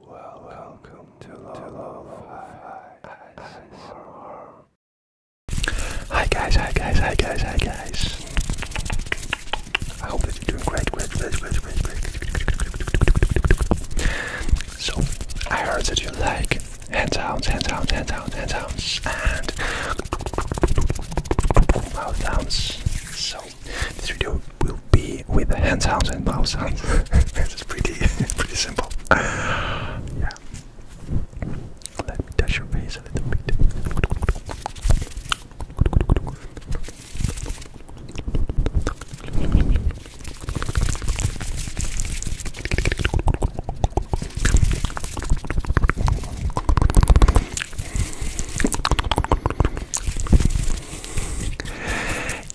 Well, welcome to Love Hi guys, hi guys, hi guys, hi guys. I hope you're doing great, great, great, great, great, great. So, I heard that you like hand sounds, hand sounds, hand sounds, hand sounds, and mouth sounds. So, this video will be with the hand sounds and mouth sounds. It's pretty, pretty simple. Yeah. Let me touch your face a little bit.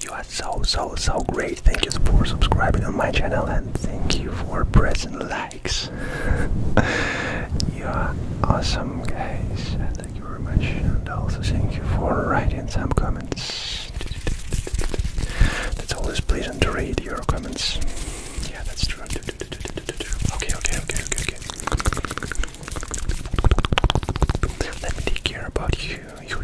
You are so, so, so great. Thank you for subscribing on my channel and thank you for pressing likes. you are awesome, guys. Thank you very much. And also, thank you for writing some comments. That's always pleasant to read your comments. Yeah, that's true. Okay, okay, okay, okay, let me take care about you.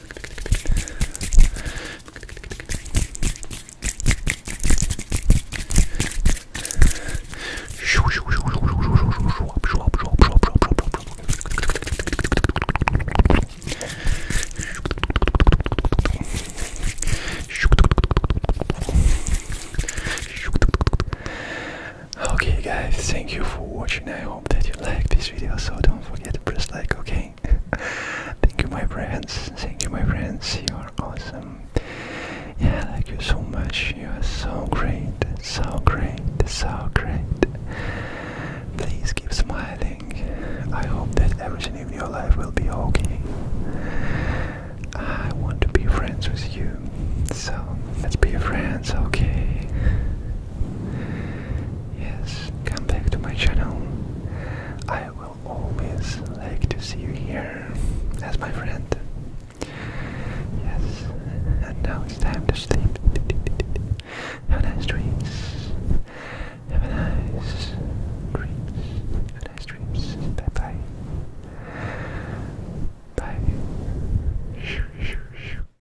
Okay guys, thank you for watching. I hope that you liked this video, so don't forget to press like, okay? Thank you, my friends. Thank you, my friends. You are awesome. Yeah, I like you so much. You are so great, so great, so great. Please keep smiling. I hope that everything in your life will be okay. I want to be friends with you, so let's be friends, okay? Yes, come back to my channel. I will always like to see you here as my friend. Yes, and now it's time to sleep. Have nice dreams. Have a nice dreams. Have nice dreams. Bye bye. Bye.